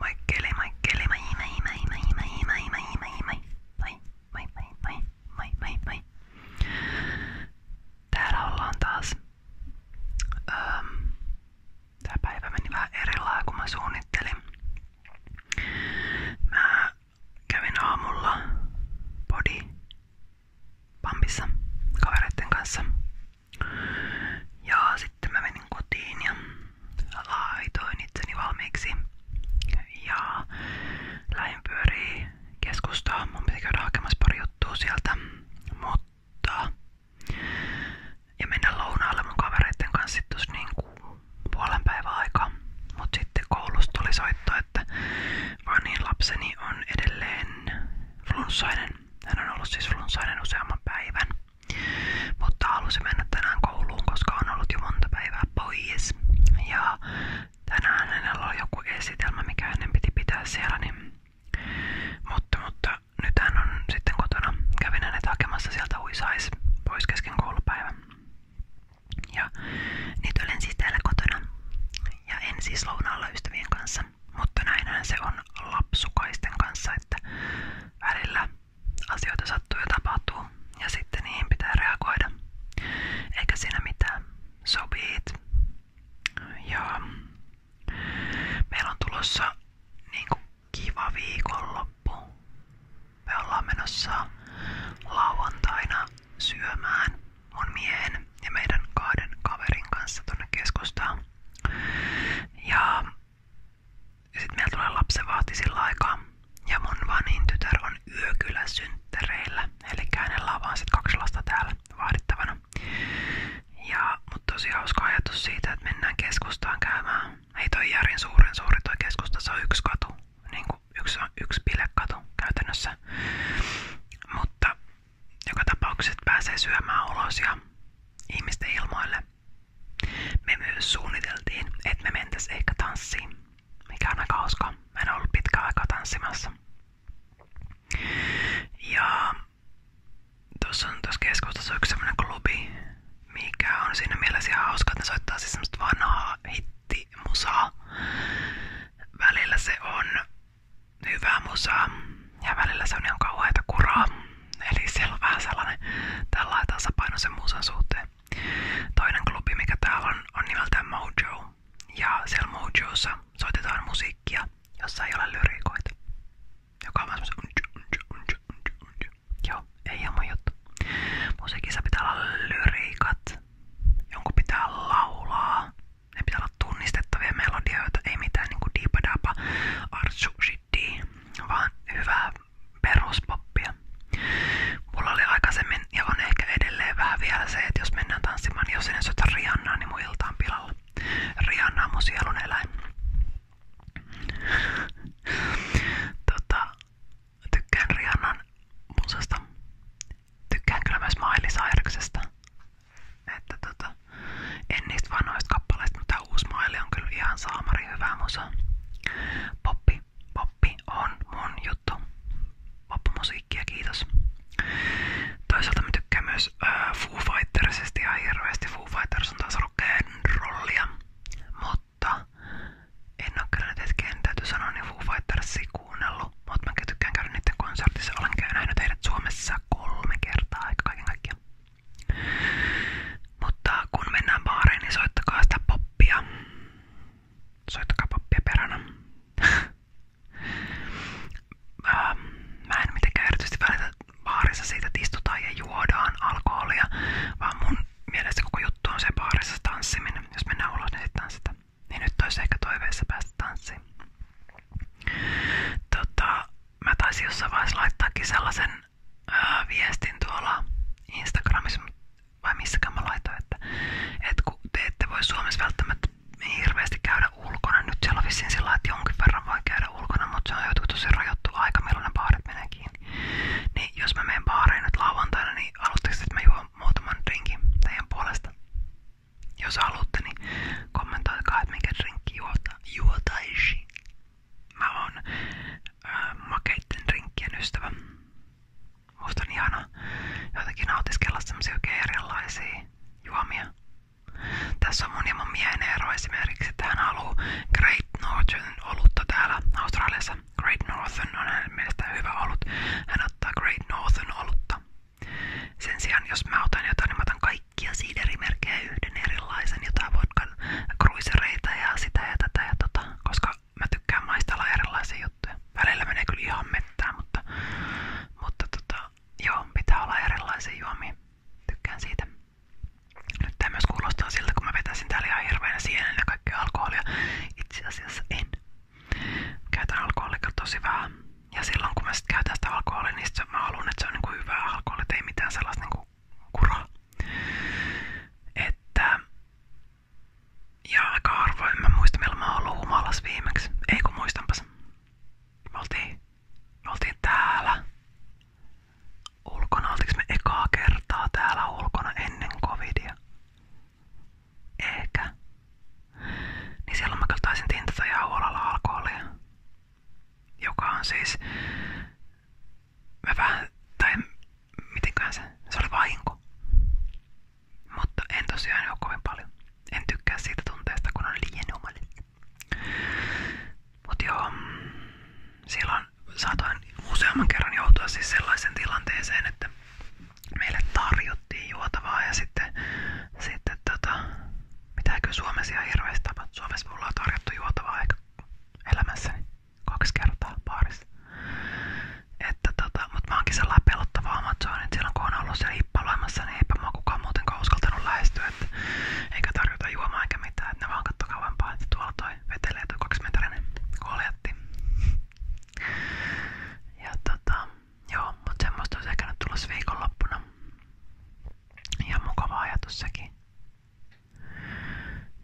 Moikkeli, moikkeli, moi, moi, moi, moi, moi, moi, moi, moi, moi, moi, moi, moi, moi, moi, moi, moi. Täällä ollaan taas. Öm, tää päivä meni vähän erillään kuin mä suunnittelin. Mä kävin aamulla body pampissa kavereiden kanssa ja sitten menin kotiin ja laitoin itseni valmiiksi. Ja lähin pyörii keskustaan. Mun piti käydä hakemassa pari Mutta ja mennä lounaalle mun kavereiden kanssa sitten tuossa niin puolen päivän aikaa. Mut sitten koulusta tuli soitto, että vanin lapseni on edelleen flunssainen. Hän on ollut siis flunssainen useamman päivän. Mutta halusin mennä tänään kouluun, koska on ollut jo Ja tänään hänellä oli joku esitelmä, mikä hänen piti pitää siellä. Niin... Mutta, mutta nyt hän on kotona. Kävin hänet sieltä huisais pois kesken Ja nyt olen siis täällä kotona. Ja en siis lounaalla ystävien kanssa mutta näinhän se on lapsukaisten kanssa, että välillä asioita sattuu ja tapahtuu ja sitten niihin pitää reagoida. Eikä siinä mitään. Sobiit. Ja meillä on tulossa niinku kiva viikonloppu. Me ollaan menossa lauantaina syömään mun miehen ja meidän kahden kaverin kanssa tuonne keskustaan. Ja sitten meillä tulee lapsenvahti sillä aikaa. Ja mun vanin tytär on yökylä synttäreillä. Eli hänellä on vaan sit kaksi lasta täällä vaadittavana. Ja mut tosi hauska ajatus siitä, että mennään keskustaan käymään. Ei toi Järin suuren suuri toi keskusta, se on yksi katu. Niin kuin yksi, yksi pilekatu käytännössä. Mutta joka tapauksessa pääsee syömään ulos ja ihmisten ilmoille. Me myös suunniteltiin, että me mentäis ehkä tanssiin, mikä on aika hauskaa. Mä en ollut pitkään aikaa tanssimassa. Ja tuossa on tuossa keskustassa yksi sellainen klubi, mikä on siinä mielessä ihan hauska, että ne soittaa siis semmoista vanhaa hittimusaa. Välillä se on hyvää musaa ja välillä se on ihan kauheita kuraa. Eli siellä on vähän sellainen tällainen tasapaino sen musan suhteen. Toinen klubi, mikä täällä on, on nimeltään Mojo. Ja siellä Mojoissa soitetaan musiikkia, jossa ei ole lyriikoita. Joka on vähän Joo, ei ihan Musiikissa pitää laulaa. pitää olla tunnistettavia ei mitään niinku diipadapa, ars sushi tea, vaan hyvää peruspoppia. Mulla oli aikaisemmin ja on ehkä edelleen vähän vielä se, että jos mennään tanssimaan, niin jos en soita Riannaa, niin mun ilta on pilalla. Rihanna on mun sielun eläin. tota, tykkään Rihannan musasta. Tykkään kyllä myös Miley Cyruksesta. Että tota, en niistä vanhoista kappaleista, mutta uusi maili on kyllä ihan saamari hyvää musa. Poppi, poppi on mun juttu. Poppimusiikkia, kiitos. Toisaalta mä tykkään myös äh, Foo Fightersista ja hirveästi. Foo Fighters on taas ollut rollia, mutta en oo kyllä nyt hetken, täytyy sanoa, niin Foo Fightersia kuunnellut. Mutta mä tykkään käydä niiden konsertissa. Olen käynyt heidät Suomessa kolme kertaa aika kaiken kaikkiaan. Mutta kun mennään baareen, niin soittakaa sitä poppia. Soittakaa poppia peränä. Mä en mitenkään erityisesti välitä baarissa siitä, että istutaan ja juodaan alkoholia, vaan mun mielestä koko juttu on se baarissa tanssiminen. Jos mennään ulos, niin sitten tanssitaan. Niin nyt olisi ehkä toiveessa päästä tanssiin. Tota, mä taisin jossain vaiheessa laittaakin sellaisen ää, viestin tuolla Instagramissa vai missäkään mä laitoin, että, että kun te ette voi Suomessa välttämättä hirveästi käydä ulkona. Nyt siellä on vissiin sillä että jonkin verran voi käydä ulkona, mutta se on jotenkin tosi rajoittu aika, milloin ne baarit menee kiinni. Niin jos mä menen baariin nyt lauantaina, niin alustaisi, että mä juon muutaman drinkin teidän puolesta. Jos haluatte, niin kommentoikaa, että mikä drinkki juota, juotaisi. Mä oon ää, makeitten drinkkien ystävä. Musta on ihana jotenkin nautiskella semmosia oikein erilaisia juomia. Tässä on mun ja mun miehen ero esimerkiksi, että hän haluu Great Northern olutta täällä Australiassa. Great Northern on hänen mielestään hyvä olut. Hän ottaa Great Northern olutta. Sen sijaan, jos mä otan jotain, niin mä otan kaikki kaikkia siiderimerkkejä yhden erilaisen, jotain vodkan kruisereita ja sitä ja tätä ja tota, koska mä tykkään maistella erilaisia juttuja. Välillä menee kyllä ihan mettään, mutta, mutta tota, joo, pitää olla erilaisia juomia. Tykkään siitä. Nyt tämä myös kuulostaa siltä, kun mä vetäisin täällä ihan hirveänä sienellä kaikkea alkoholia. Itse asiassa en. Käytän alkoholia tosi vähän. Ja silloin kun mä sit käytän sitä alkoholia, niin sit mä haluan, että se on niinku hyvää alkoholia, ei mitään sellaista niinku kuraa. Että... Ja aika harvoin mä muista, milloin mä oon ollut humalas viimeksi. Ei kun muistanpas. Me oltiin, me oltiin täällä ulkona. Oltiinko me ekaa kertaa täällä ulkona ennen covidia? Ehkä. Niin silloin mä kyllä taisin tintata ihan huolella alkoholia. Joka on siis... Mä vähän... Tai mitenkään se... Se oli vahinko. Mutta en tosiaan ole kovin paljon. En tykkää siitä tunteesta, kun on liian humalissa. Mut joo, silloin saatoin useamman kerran joutua siis sellaisen tilanteeseen, että meille tarjottiin juotavaa ja sitten, sitten tota, Pitääkö Suomessa ihan hirveästi tapahtua? Suomessa mulla on tarjottu juotavaa aika elämässäni kaksi kertaa baarissa. Että tota, mut mä oonkin sellainen pelottava Amazon, että silloin kun on ollut siellä hippaloimassa, niin eipä mua kukaan muutenkaan uskaltanut lähestyä, että eikä tarjota juomaa eikä mitään, että ne vaan katso kauempaa, että tuolla toi vetelee toi kaksimetrinen koljatti. Ja tota, joo, mut semmoista olisi ehkä nyt tulossa viikonloppuna. Ihan mukava ajatus sekin.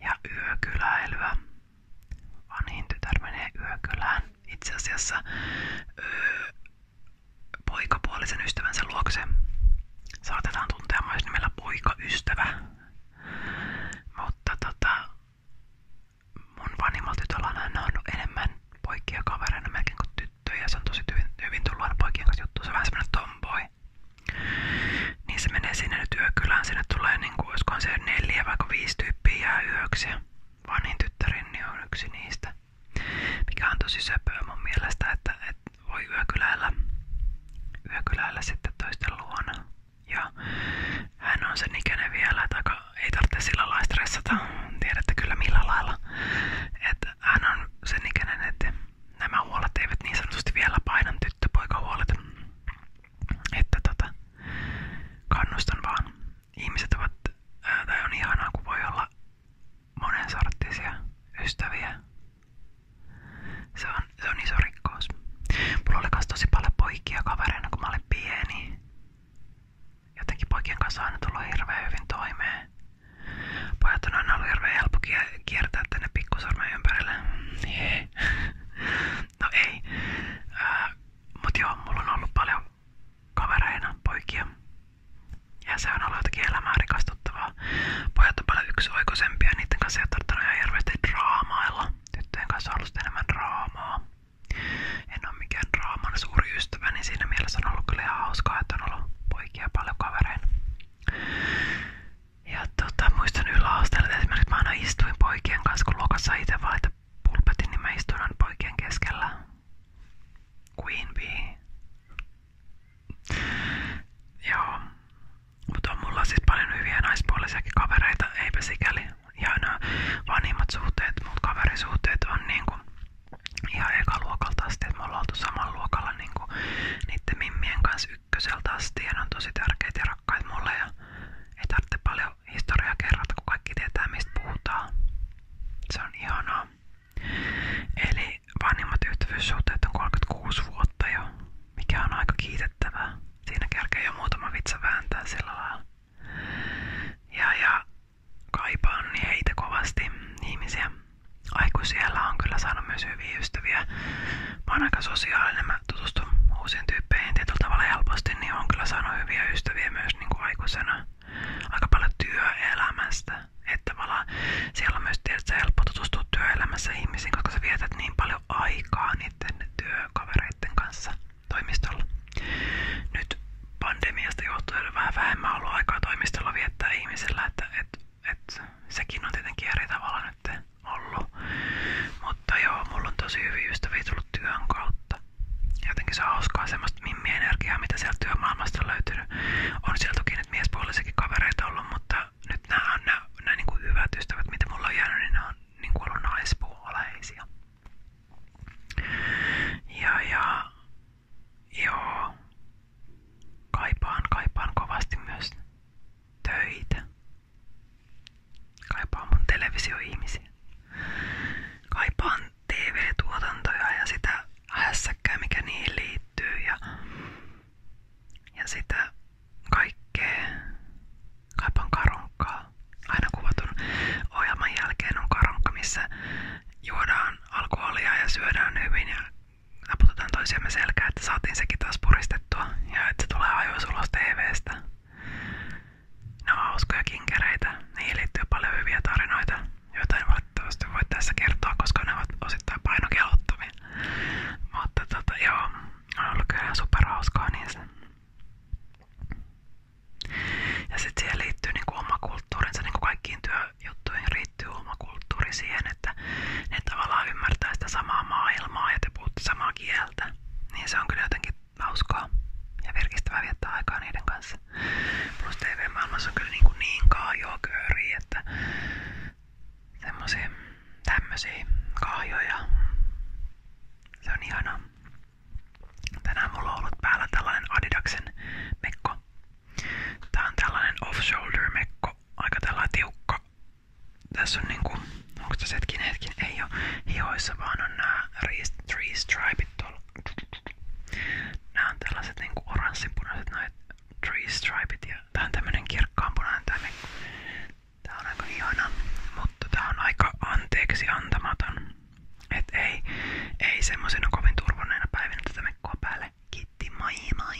Ja yökyläilyä. Vanhin tytär menee yökylään. Itse asiassa öö, poikapuolisen ystävänsä luokse. Saatetaan tuntea myös nimellä poikaystävä. Mutta tota, mun vanhimmalta tytöllä on aina ollut enemmän poikia kavereina melkein kuin tyttöjä tyttöjä ja se on tosi hyvin, hyvin tullut aina poikien kanssa juttu. Se on vähän semmonen tomboy. Niin se menee sinne nyt yökylään. Sinne tulee niinku, olisikohan se neljä vai viisi tyyppiä jää yöksi. Vanhin tyttärin niin on yksi niistä. Mikä on tosi söpöä mun mielestä, että, että voi yökyläillä, yökyläillä sitten toisten luona. Ja hän on sen ikäinen vielä, että ei tarvitse sillä lailla stressata. Tiedätte kyllä millä lailla. Että hän on sen ikäinen, että nämä huolet eivät niin sanotusti vielä painan tyttöpoikahuolet. Että tota, kannustan vaan. Ihmiset ovat, ää, tai on ihanaa kun voi olla monensarttisia ystäviä. Se on, se on iso rikkaus. Mulla oli kans tosi paljon poikia kavereina kun mä olin pieni. Jotenkin poikien kanssa on aina tullut hirveän hyvin toimeen. Pojat on aina ollut hirveän helppo kiertää tänne pikkusormen ympärille. Jee. No ei. Äh, mut joo, mulla on ollut paljon kavereina poikia. Ja se on ollut jotenkin elämää rikastuttavaa. Pojat on paljon yksioikoisempia, niiden kanssa ei ole tarttunut ihan hirveästi draamailla. Tyttöjen kanssa on ollut enemmän draamaa en ole mikään draaman suuri ystävä, niin siinä mielessä on ollut kyllä ihan hauskaa, että on ollut poikia paljon kavereina. Ja tota, muistan yläasteella, että esimerkiksi mä aina istuin poikien kanssa, kun luokassa itse vaihti pulpetin, niin mä istuin aina poikien keskellä. Queen Bee. Joo. Mutta on mulla siis paljon hyviä naispuolisiakin kavereita, eipä sikäli. Ja nämä vanhimmat suhteet, muut kaverisuhteet on niinku ihan eka luokalta asti, että me ollaan oltu samalla luokalla niinku niitten mimmien kanssa ykköseltä asti ja ne on tosi tärkeitä ja rakkaita mulle ja ei tarvitse paljon historiaa kerrata, kun kaikki tietää mistä puhutaan. Se on ihanaa. Eli vanhimmat ystävyyssuhteet on 36 vuotta jo, mikä on aika kiitettävää. Siinä kerkee jo muutama vitsa vääntää sillä lailla. Ja, ja kaipaan heitä kovasti, ihmisiä. Aikuisiellä on kyllä saanut myös hyviä ystäviä. Mä oon aika sosiaalinen, mä tutustun uusiin tyyppeihin tietyllä tavalla helposti, niin on kyllä saanut hyviä ystäviä myös niin kuin aikuisena. Aika paljon työelämästä. Että tavallaan siellä on myös tietysti helppo tutustua työelämässä ihmisiin, koska sä vietät niin paljon aikaa niiden työkavereiden kanssa toimistolla. Nyt pandemiasta johtuen on vähän vähemmän ollut aikaa toimistolla viettää ihmisillä, että et, et, sekin on tietenkin eri tavalla nyt ollut. Mutta joo, mulla on tosi hyviä ystäviä tullut työn kautta. Jotenkin se on hauskaa semmoista mimmi-energiaa, mitä sieltä työmaailmasta on löytynyt. On siellä toki nyt miespuolisiakin kavereita ollut, mutta nyt nämä on nämä, nämä niin kuin hyvät ystävät, mitä mulla on jäänyt, niin nämä on niin kuin ollut naispuoleisia. Ja, ja Joo. Kaipaan, kaipaan kovasti myös töitä. Kaipaan mun televisioihmisiä. Kaipaan TV-tuotantoja ja sitä hässäkkää, mikä niihin liittyy ja, ja sitä kaikkea. Kaipaan karonkkaa. Aina kuvatun ohjelman jälkeen on karonkka, missä juodaan alkoholia ja syödään hyvin ja naputetaan toisiamme selkää, että saatiin sekin taas puristettua ja että se tulee ajoissa ulos TVstä. Ne on hauskoja kinkereitä, niihin liittyy paljon hyviä tarinoita, joita en valitettavasti voi tässä kertoa, koska ne ovat osittain painokelottomia. Mutta tota, joo, on ollut kyllä niin. niissä. Ja sitten siihen liittyy niinku oma kulttuurinsa, niin kuin kaikkiin työjuttuihin riittyy oma kulttuuri siihen, että ne tavallaan ymmärtää sitä samaa maailmaa ja te puhutte samaa kieltä. Niin se on kyllä jotenkin hauskaa ja virkistävää viettää aikaa niiden kanssa. Plus TV-maailmassa on kyllä niinku niin, kuin niin kahjokööriä, että semmosia tämmösiä kahjoja. Se on ihanaa. Tänään mulla on ollut päällä tällainen Adidaksen mekko. Tää on tällainen off-shoulder mekko, aika tällainen tiukka. Tässä on niinku, onko tässä hetkinen hetkin, ei oo hioissa vaan on nää three stripeit tuolla. Nää on tällaiset niinku oranssinpunaiset noit three stripeit ja tää on tämmönen kirkkaanpunainen tää mekko. Tää on aika ihana, mutta tää on aika anteeksi antamaton. Et ei, ei semmosena kovin turvonneena päivinä tätä mekkoa päälle. Kiitti, moi moi!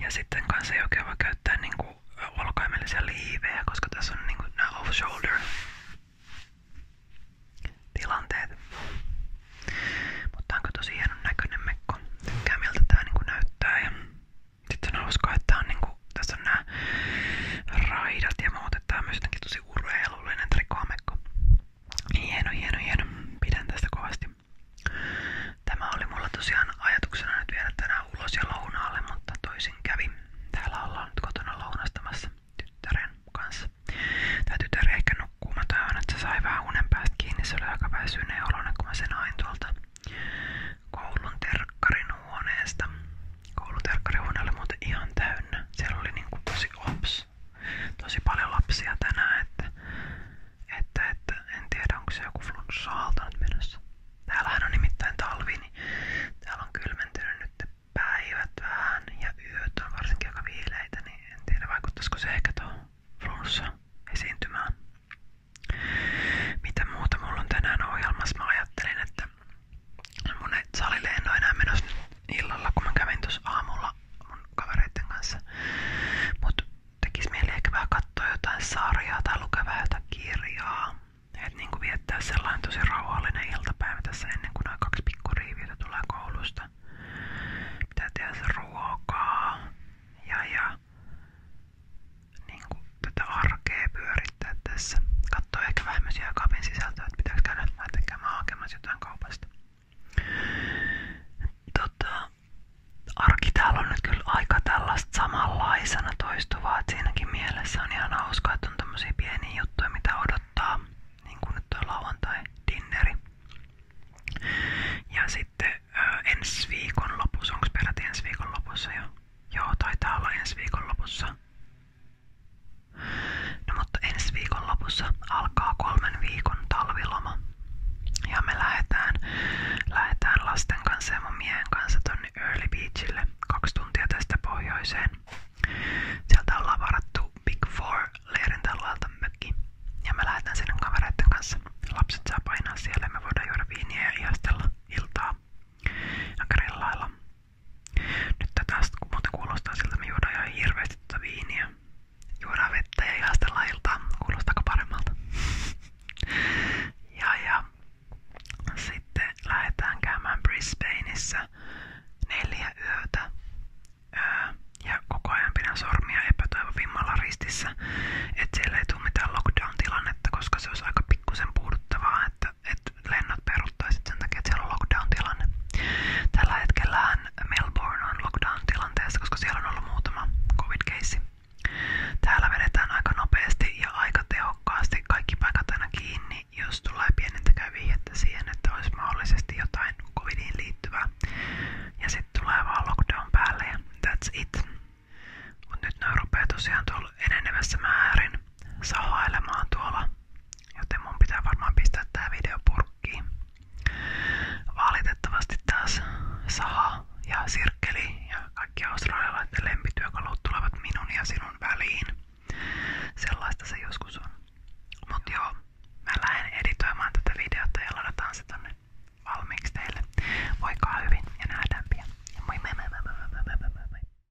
Ja sitten kanssa ei oikein voi käyttää niinku olkaimellisia liivejä, koska tässä on niinku nämä off-shoulder tilanteet. Mutta onko tosi hienon näköinen mekko. Tykkää miltä tää niinku näyttää ja sitten on hauskaa, että tää on niinku, tässä on nämä raidat ja muut, että tää on myös jotenkin tosi urheilullinen trikoamekko. Hieno, hieno, hieno. Pidän tästä kovasti. Tämä oli mulla tosiaan ajatuksena nyt viedä tänään ulos ja lounaalle, mutta toisin kävi. Täällä ollaan nyt kotona lounastamassa tyttären kanssa. Tää tytär ehkä nukkuu. Mä toivon, että se sai vähän unen päästä kiinni. Se oli aika väsyneen oloinen, kun mä sen hain tuolta koulun terkkarin huoneesta. Kouluterkkarihuone oli ihan täynnä. Siellä oli niinku tosi ops. Tosi paljon lapsia tänään, että, että, että en tiedä onko se joku flunssa-aalto nyt menossa. Täällähän on nimittäin talvi, niin täällä on kylmentynyt nyt päivät ja yöt on varsinkin aika viileitä, niin en tiedä vaikuttaisiko se ehkä tuohon flunssa esiintymään. Mitä muuta mulla on tänään ohjelmassa? Mä ajattelin, että että salille en oo enää illalla, kun mä aamulla kavereitten kanssa. Mut tekis mieli ehkä vähän katsoa kirjaa. Et niinku viettää sellainen tosi rauhallinen iltapäivä tässä ennen kuin nämä kaksi pikkuriiviä tulee koulusta. Pitää tehdä ruokaa ja, niinku tätä arkea yrittää tässä. Katsoa ehkä vähän myös jääkaapin sisältöä, että pitääkö käydä näiden käymään hakemassa jotain kaupasta. Tota, arki täällä on nyt kyllä aika tällaista samanlaisena toistuvaa, että siinäkin mielessä on ihan hauska, että on tämmöisiä pieniä juttuja, mitä odottaa, niin kuin nyt on lauantai-dinneri. Ja sitten ö, ensi viikon lopussa, onko peräti ensi viikon lopussa jo? Joo, taitaa olla ensi viikon lopussa No mutta ensi viikon lopussa alkaa kolmen viikon talviloma. Ja me lähetään, lähetään lasten kanssa ja mun miehen kanssa tonne Early Beachille kaksi tuntia tästä pohjoiseen. Sieltä ollaan varattu Big Four leirin tallalta mökki. Ja me lähdetään sinne kavereiden kanssa. Lapset saa painaa siellä ja me voidaan juoda viiniä ja ihastella iltaa ja grillailla. Nyt tästä muuten kuulostaa siltä, me juodaan ihan hirveästi tuota viiniä. Juodaan vettä ja ihastellaan iltaa. Kuulostaako paremmalta? ja Sitten lähdetään käymään Brisbaneissa neljä yötä. ja koko ajan pidän sormia epätoivovimmalla ristissä, että siellä ei tule mitään lockdown-tilannetta, koska se olisi aika pikkusen puuduttavaa, että että lennot peruuttaisit sen siellä on lockdown-tilanne. Tällä hetkellä Melbourne on lockdown-tilanteessa, koska siellä on ollut muutama covid-keissi. Täällä vedetään aika nopeasti ja aika tehokkaasti kaikki paikat kiinni, jos tulee pienintäkään vihjettä siihen, että olisi mahdollisesti jotain covidiin liittyvää. Ja sitten tulee vaan lockdown päälle that's it. Mut nyt ne rupeaa tosiaan tuolla enenevässä määrin sahailemaan tuolla, joten mun pitää varmaan pistää tää video purkkiin. Valitettavasti taas saha ja sirkkeli ja kaikki australialaisten lempityökalut tulevat minun ja sinun väliin. Sellaista se joskus on. Mut joo, mä lähden editoimaan tätä videota ja ladataan se tonne valmiiksi teille. Voikaa hyvin ja nähdään pian. Ja moi moi moi moi moi moi moi moi moi.